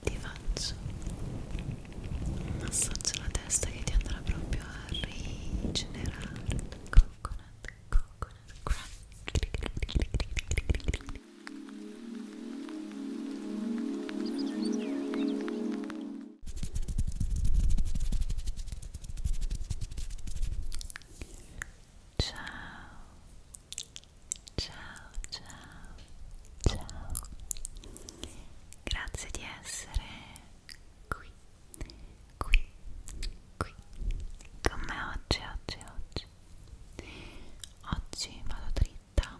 Ti faccio un massaggio alla testa che ti andrà proprio a rigenerare coconut, coconut, crack. Ciao, ciao, ciao, ciao. Grazie di essere qui, qui, qui con me oggi, oggi, oggi. Oggi vado dritta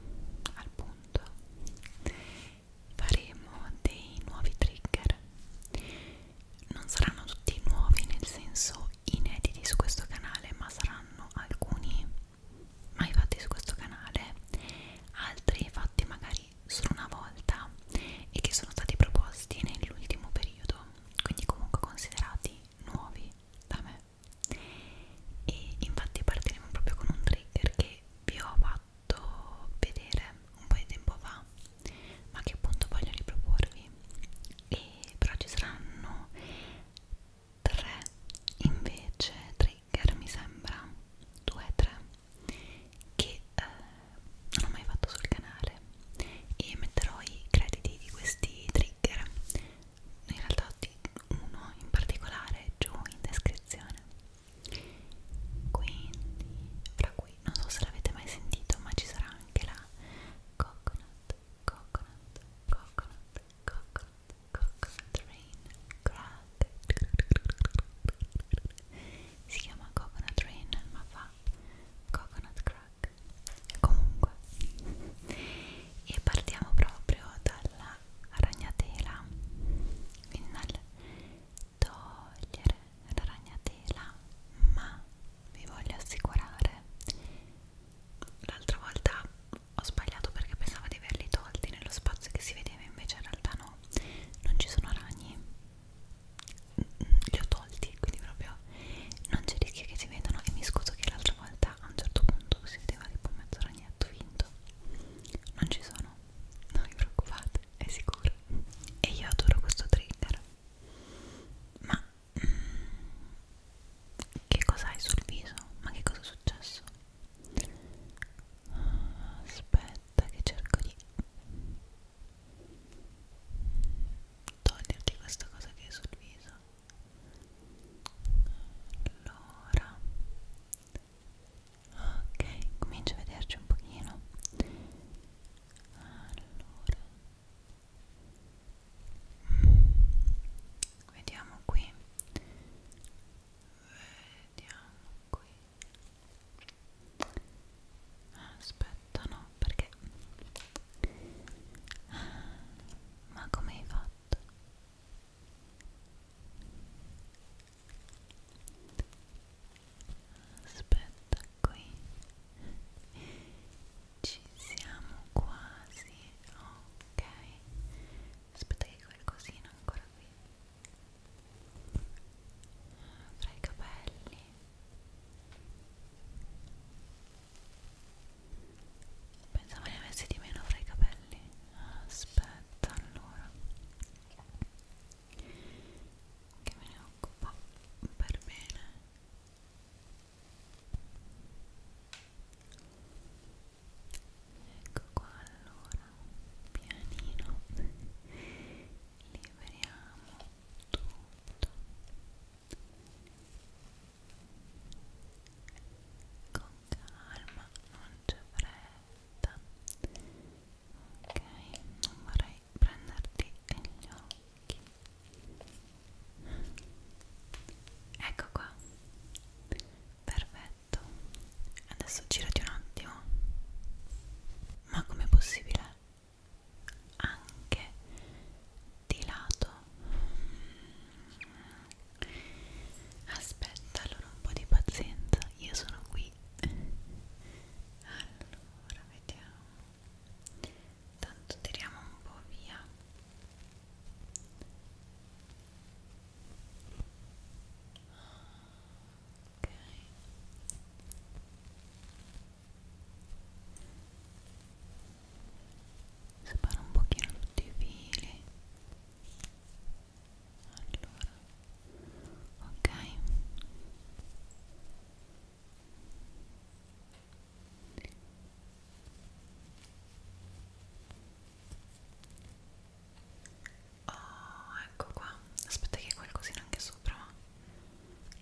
al punto. Faremo dei nuovi trigger non saranno tutti nuovi nel senso inediti su questo canale ma saranno alcuni mai fatti su questo canale altri fatti magari solo una volta e che sono stati proposti nell'ultimo periodo quindi comunque considerati nuovi da me e infatti partiremo proprio con un trigger che vi ho fatto fatto vedere un po' di tempo fa ma che appunto voglio riproporvi e però ci saranno tre invece trigger mi sembra due tre che eh, non ho mai fatto sul canale e metterò i crediti di questi trigger in realtà uno in particolare giù in descrizione quindi fra cui non so se l'avete mai sentito ma ci sarà anche la coconut, coconut, coconut, coconut, coconut rain crack si chiama coconut rain ma fa coconut crack comunque e partiamo proprio dalla ragnatela quindi dal togliere la ragnatela ma vi voglio assicurare l'altra volta ho sbagliato perché pensavo di averli tolti nello spazio che si vedeva invece in realtà no non ci sono ragni li ho tolti quindi proprio non c'è rischio che si vedano e mi scuso che l'altra volta a un certo punto si vedeva tipo mezzo ragnetto finto non ci sono non vi preoccupate è sicuro e io adoro questo trigger ma mm, che cosa hai sul viso? ma che cosa è successo? aspetta che cerco di toglierti questa cosa che è sul viso allora ok comincio a vederci un pochino allora vediamo qui vediamo qui aspetta no perché ma come hai fatto aspetta qui ci siamo quasi ok aspetta che qualcosina ancora qui tra i capelli pensavo ne avessi di meno fra i capelli aspetta allora che me ne occupo per bene ecco qua allora pianino liberiamo tutto con calma non c'è fretta ok non vorrei vorrei prenderti gli occhi ecco qua perfetto adesso girati un attimo ma com'è possibile anche di lato aspetta allora un po' di pazienza io sono qui allora vediamo tanto tiriamo un po' via ok separo un pochino tutti i fili allora ok oh ecco qua aspetta che qualcosina anche sopra ma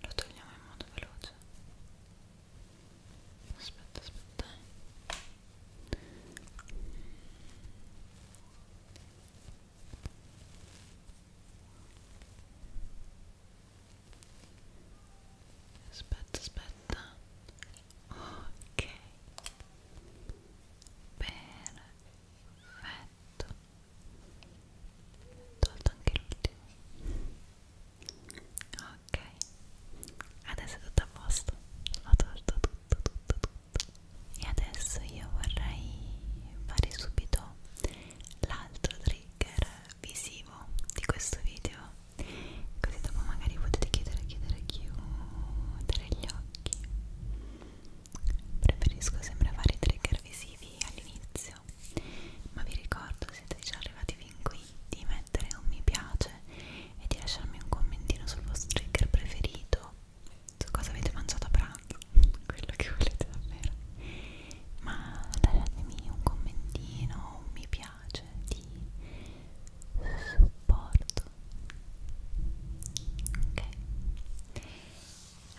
lo togliamo in modo veloce aspetta aspetta aspetta aspetta ok perfetto ho tolto anche l'ultimo ok adesso è tutto a posto ho tolto tutto tutto tutto e adesso io vorrei fare subito l'altro trigger visivo di questo video così dopo magari potete chiudere chiudere chiudere gli occhi preferisco sempre fare i trigger visivi all'inizio ma vi ricordo siete già arrivati fin qui di mettere un mi piace e di lasciarmi un commentino sul vostro trigger preferito su cosa avete mangiato a pranzo, quello che volete davvero, ma lasciatemi un commentino, un mi piace di supporto, ok?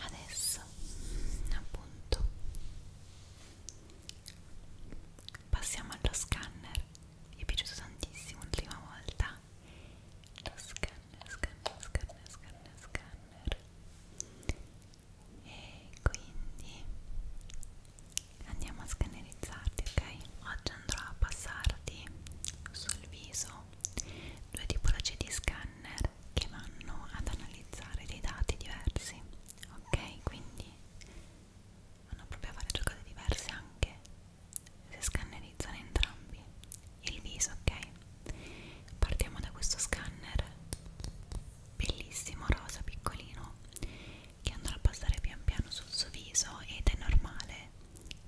Adesso, appunto, passiamo allo scanner, mi è piaciuto tantissimo l'ultima volta lo scanner, scanner, scanner, scanner, scanner e quindi andiamo a scannerizzarti ok oggi andrò a passarti sul viso due tipologie di scanner che vanno ad analizzare dei dati diversi ok quindi vanno proprio a fare due cose diverse anche se scannerizziamo analizzano entrambi il viso, ok? Partiamo da questo scanner bellissimo, rosa, piccolino, che andrà a passare pian piano sul suo viso ed è normale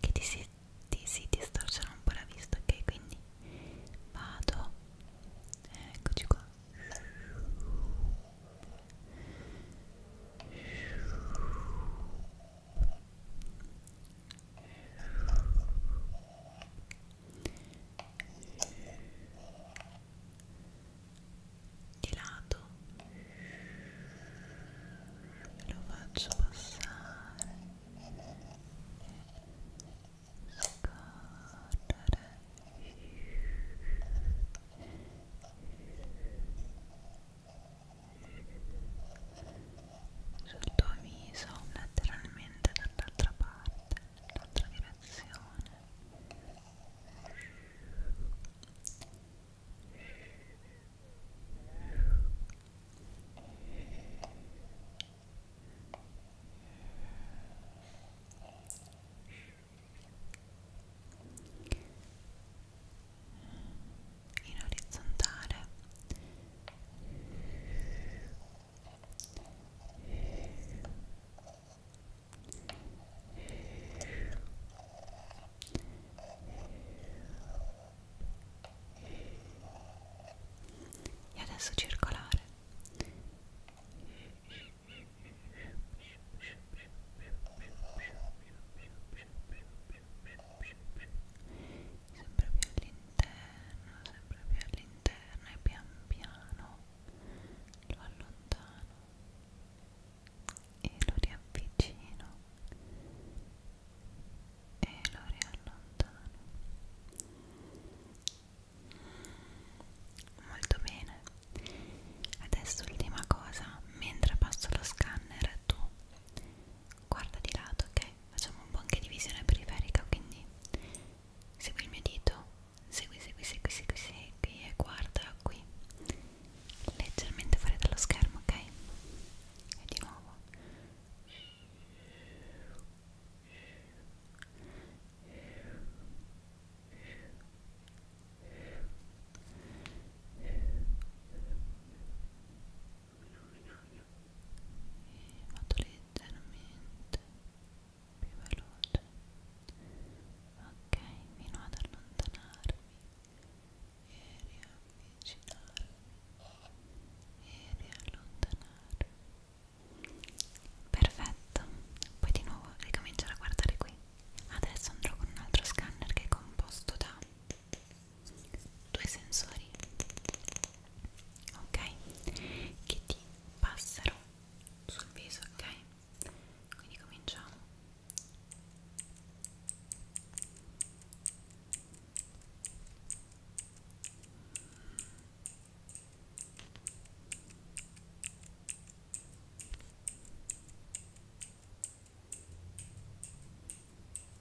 che ti si, ti si distorcerà un po' la vista, ok? Quindi vado, eccoci qua di lato e lo faccio passare scorrere Ecco sul tuo viso lateralmente dall'altra parte, dall'altra direzione Ora in orizzontale e adesso circolare sempre più all'interno sempre più all'interno e pian piano lo allontano e lo riavvicino e lo riallontano molto bene adesso ultima cosa mentre passo lo scanner tu guarda di lato ok facciamo un po' anche di visione periferica quindi segui il mio dito segui segui segui segui segui e guarda qui leggermente fuori dallo schermo ok e di nuovo ok e vado leggermente più veloce ok fino ad allontanarmi e riavvicinarmi e riallontanarmi perfetto poi di nuovo ricominciare a guardare qui adesso andrò con un altro scanner che è composto da due sensori ok che ti passano sul viso ok quindi cominciamo ok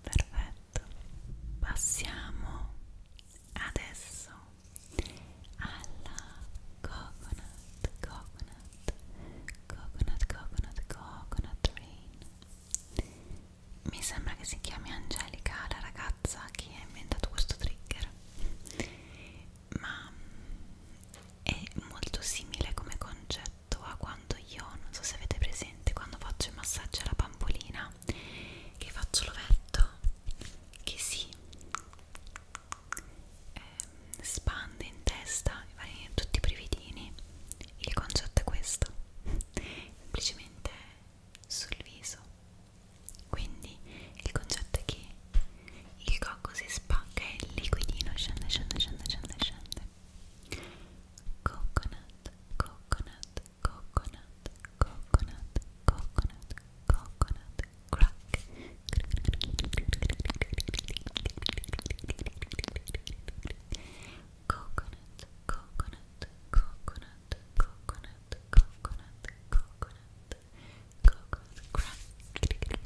Perfetto, passiamo adesso alla coconut, coconut, coconut, coconut, coconut rain. Mi sembra che si chiami Angelica la ragazza che ha inventato questo trigger, ma è molto simile come concetto a quando io, non so se avete presente, quando faccio i massaggi alla bambolina, che faccio l'ovetto, che si ehm, spande in testa e vai in tutti i brividini il concetto è questo semplicemente sul viso quindi il concetto è che il cocco si spacca e il liquidino scende scende scende scende scende coconut coconut coconut coconut coconut coconut coconut, coconut, coconut, coconut, coconut, coconut crack. Coconut, coconut,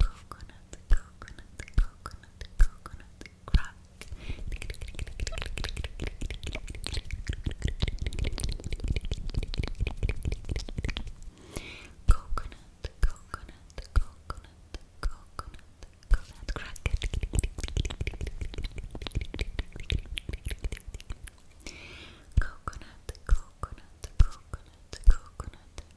coconut, coconut, coconut, coconut, crack. Coconut, coconut, coconut, coconut, coconut crack. Coconut, coconut, coconut, coconut,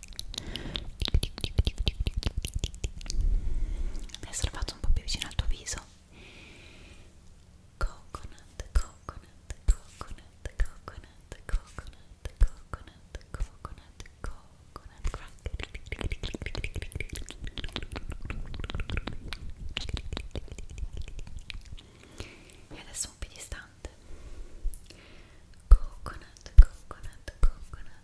adesso lo faccio un po' più vicino al tuo viso coconut, coconut, coconut, coconut, coconut, coconut, coconut, coconut crack e adesso un po' distante coconut, coconut, coconut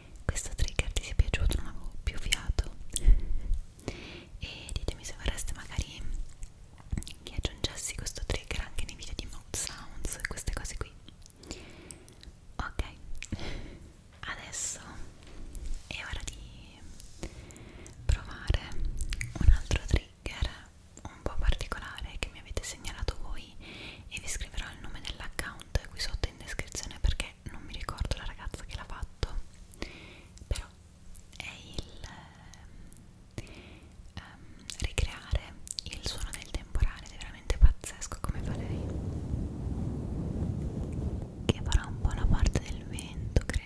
questo trigger ti sia piaciuto, non avevo più fiato e ditemi se vorreste magari che aggiungessi questo trigger anche nei video di mouth sounds e queste cose qui ok adesso è ora di provare un altro trigger un po' particolare che mi avete segnalato voi e vi scriverò il nome dell'account account esatto, qui sotto in descrizione perché non mi ricordo la ragazza che l'ha fatto però è il um, ricreare il suono del temporale ed è veramente pazzesco come fa lei che farà un po' la parte del vento credo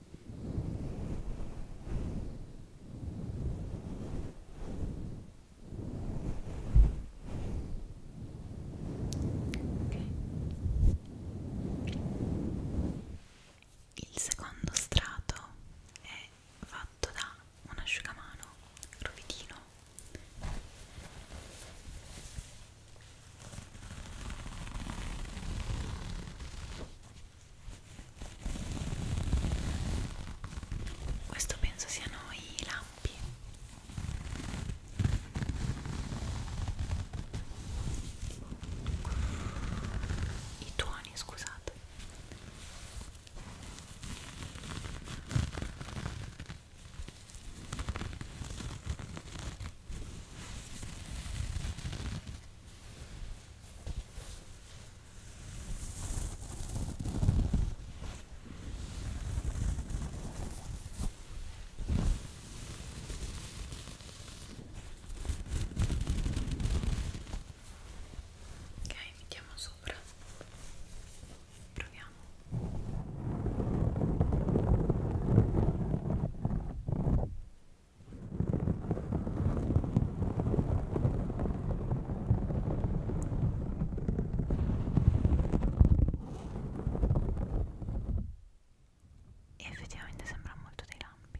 Il secondo strato è fatto da un asciugamano rovidino questo penso siano i lampi. I tuoni, scusate. Ok, mettiamo sopra. Proviamo. Ok, e effettivamente sembra molto dei lampi.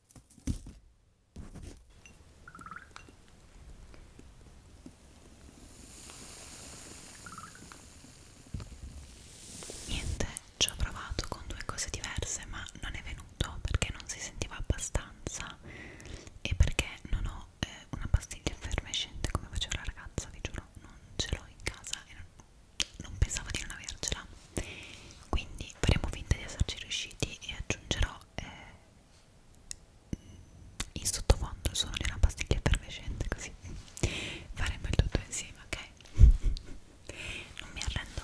Niente, ci ho provato con due cose diverse, ma non è venuto perché non si sentiva abbastanza e perché non ho eh, una pastiglia effervescente come faceva la ragazza, vi giuro, non ce l'ho in casa e non, non pensavo di non avercela. Quindi faremo finta di esserci riusciti e aggiungerò eh, in sottofondo il suono di una pastiglia effervescente così faremo il tutto insieme ok non mi arrendo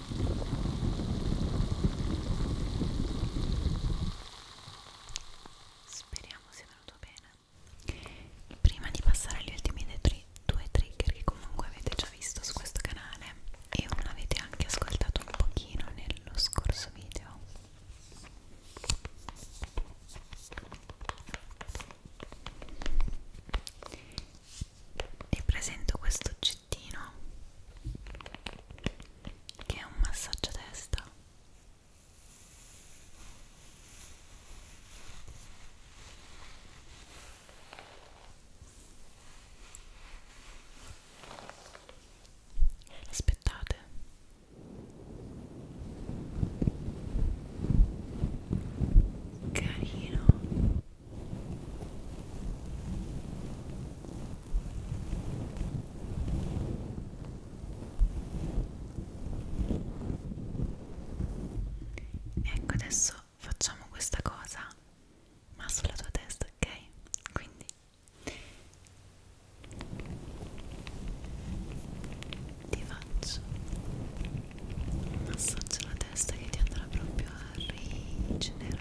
Speriamo sia venuto bene. Prima di passare agli ultimi tri due trigger che comunque avete già visto su questo canale e uno avete anche ascoltato un pochino nello scorso video. Vi presento questo oggettino che è un massaggio a testa aspettate carino Ecco adesso facciamo questa cosa ma sulla tua testa, ok? Quindi ti faccio un massaggio alla testa che ti andrà proprio a rigenerare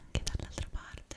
anche dall'altra parte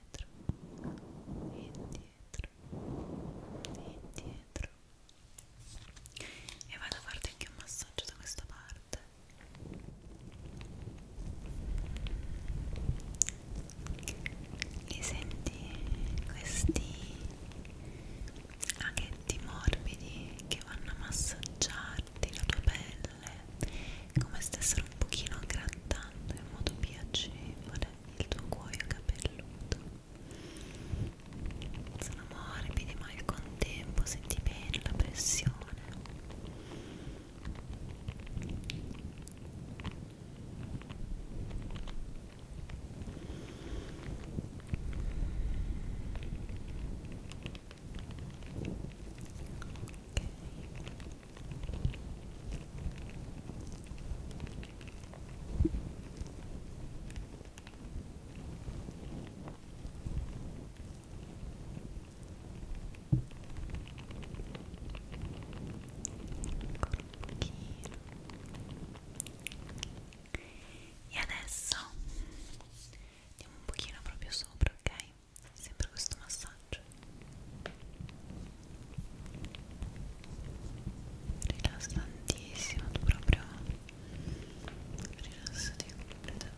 indietro indietro indietro e vado a farti anche un massaggio da questa parte li senti questi aghetti morbidi che vanno a massaggiarti la tua pelle come stessero un pochino grattando in modo piacevole il tuo cuoio capelluto sono morbidi ma al contempo senti bene la pressione Okay. e adesso um pouquinho pochino proprio sopra ok sempre questo massaggio rilassantissimo tu proprio rilassati completamente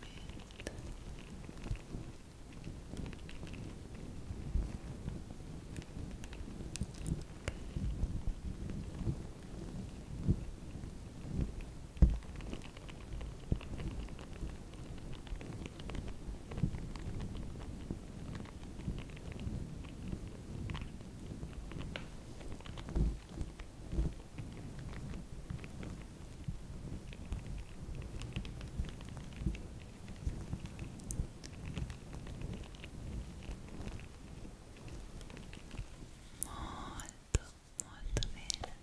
Okay molto bene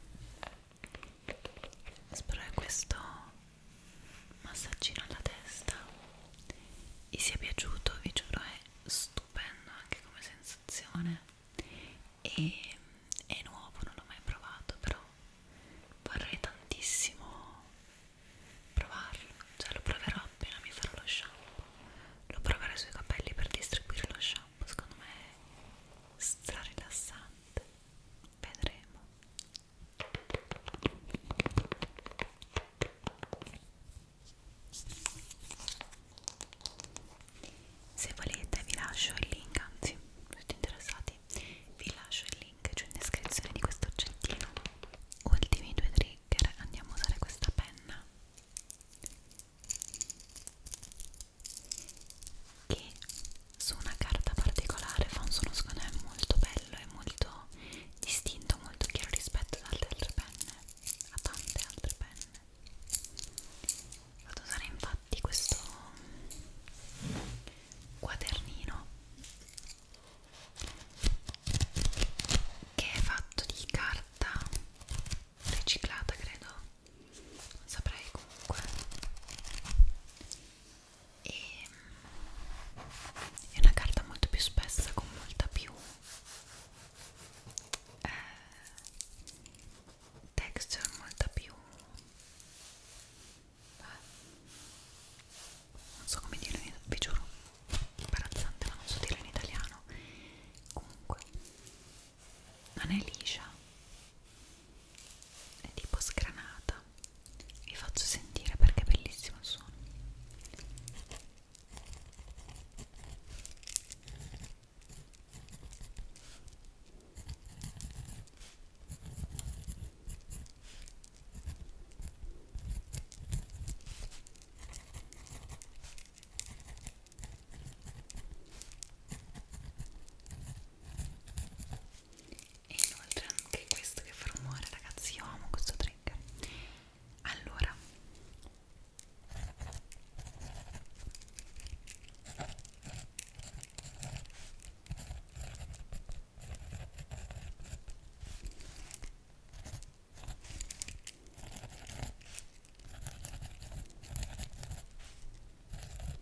spero che questo massaggino alla testa e se è piaciuto vi giuro è stupendo anche come sensazione e è nuovo non l'ho mai provato però vorrei tantissimo provarlo cioè lo proverò appena mi farò lo shampoo lo proverò sui capelli per distribuire lo shampoo secondo me è stra rilassante vedremo se volete vi lascio il link anzi siete interessati vi lascio il link giù in descrizione di questo oggettino ultimi due trigger andiamo a usare questa penna che su una carta particolare fa un suono secondo me molto bello e molto distinto, molto chiaro rispetto ad altre penne, a tante altre penne. Vado ad usare infatti questo quadernino che è fatto di carta riciclata credo non saprei comunque e mm, è una carta molto più spessa con molta più eh, texture molta più eh, non so come dire in italiano vi giuro imbarazzante ma non so dire in italiano comunque non è liscia è tipo scranata vi faccio sentire perché è bellissimo il suono e inoltre anche questo che fa rumore ragazzi io amo questo trigger allora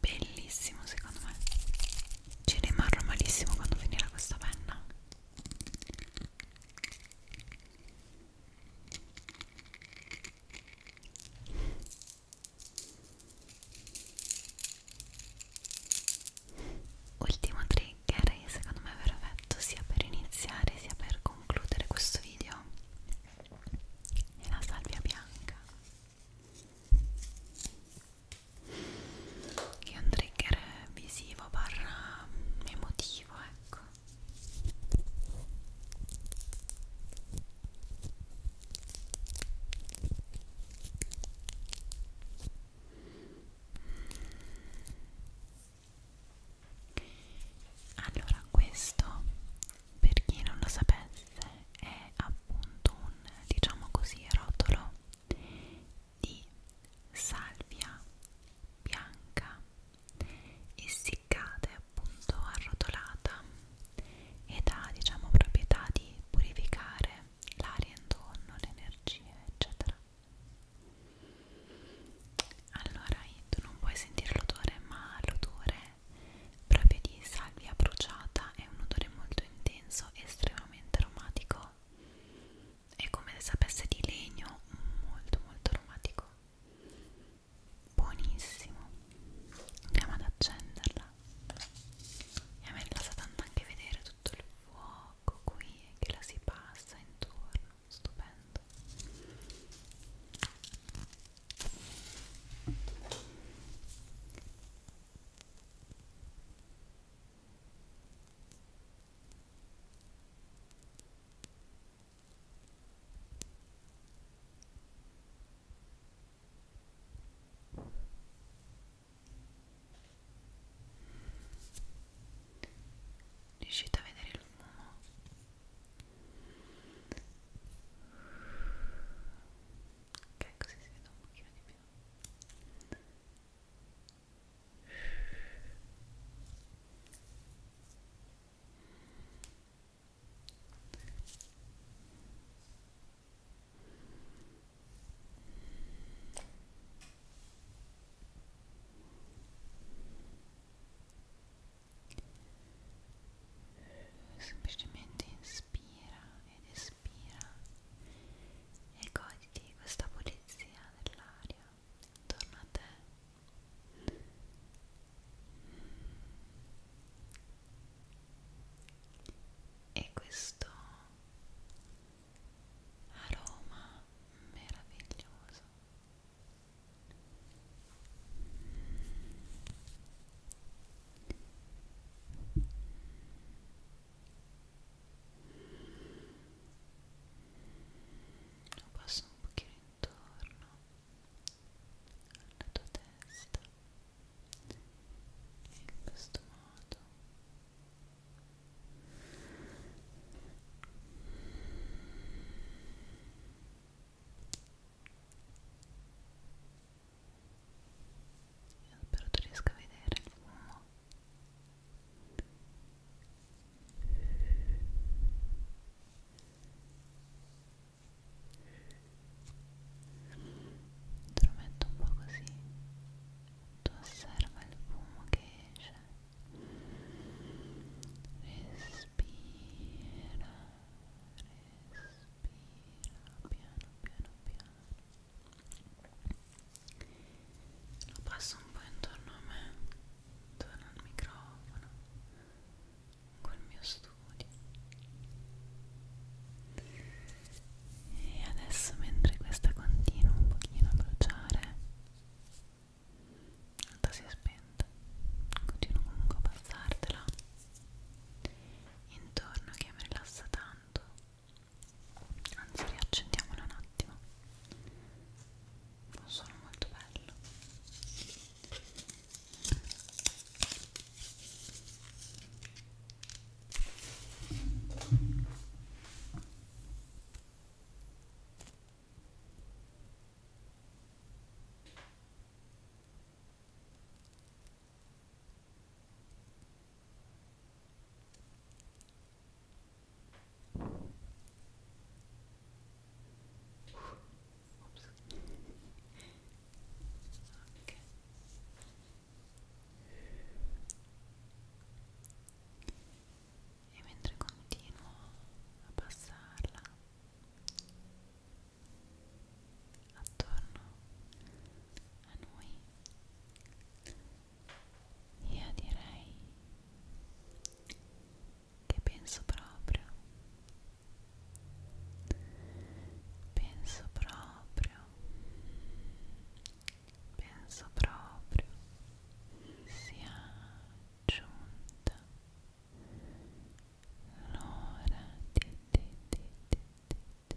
Bellissimo secondo me. Ci rimarrò malissimo quando finirà questa penna. Ultimo trigger e secondo me è perfetto sia per iniziare sia per concludere questo video è la salvia bianca che è un trigger visivo barra emotivo ecco allora questo per chi non lo sapesse è appunto un diciamo così rotolo di salvia bianca essiccata e appunto arrotolata ed ha diciamo proprietà di purificare l'aria intorno, l'energia eccetera allora tu non puoi sentire l'odore ma l'odore proprio di salvia bruciata è un odore molto intenso estremamente aromatico è come se sapesse di legno molto molto aromatico buonissimo andiamo ad accenderla e a me piace tanto anche vedere tutto il fuoco qui che la si passa intorno stupendo Riuscite a vedere il fumo? Ok, così si vede un pochino di più semplicemente inspira ed espira e godi Senti questa pulizia dell'aria intorno a te. E questo aroma meraviglioso. Passa un pochino intorno alla tua testa in questo modo Ora io spero tu riesca a vedere il fumo te lo metto un po' così tu osserva il fumo che esce respira respira piano piano piano lo passo un po' intorno a me intorno al microfono col mio studio e adesso mentre questa continua un pochino a bruciare l'altra si è spenta continuo comunque a passartela intorno che mi rilassa tanto anzi riaccendiamola un attimo un suono molto bello Ops. Okay. E mentre continuo a passarla attorno a noi io direi che penso proprio, penso proprio, penso proprio sia giunta l'ora di, di, di, di, di, di,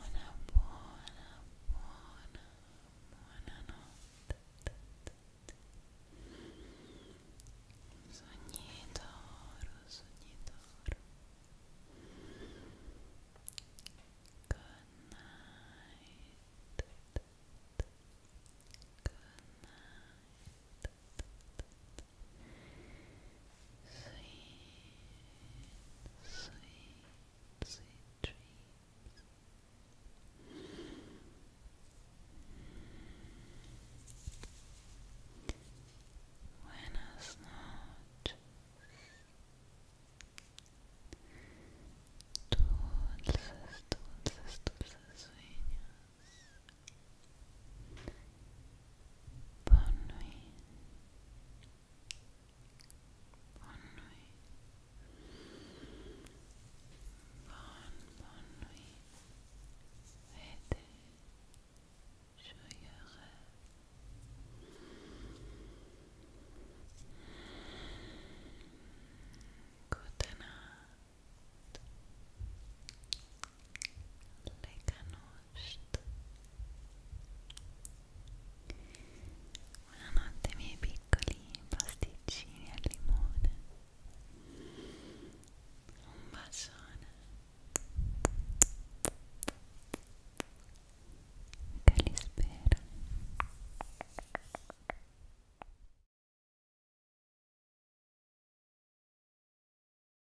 Una buona, buona, buonanotte. Sogni d'oro, sogni d'oro. Good night. Good night. Sweet, sweet, sweet dreams. Buenas noches. Dulces, dulces, dulces sueños. Bonne nuit. Bonne nuit. Bonne, bonne nuit. Et joyeux rêves. Good night. le canostre buonanotte miei piccoli pasticcini al limone un bacione che li spera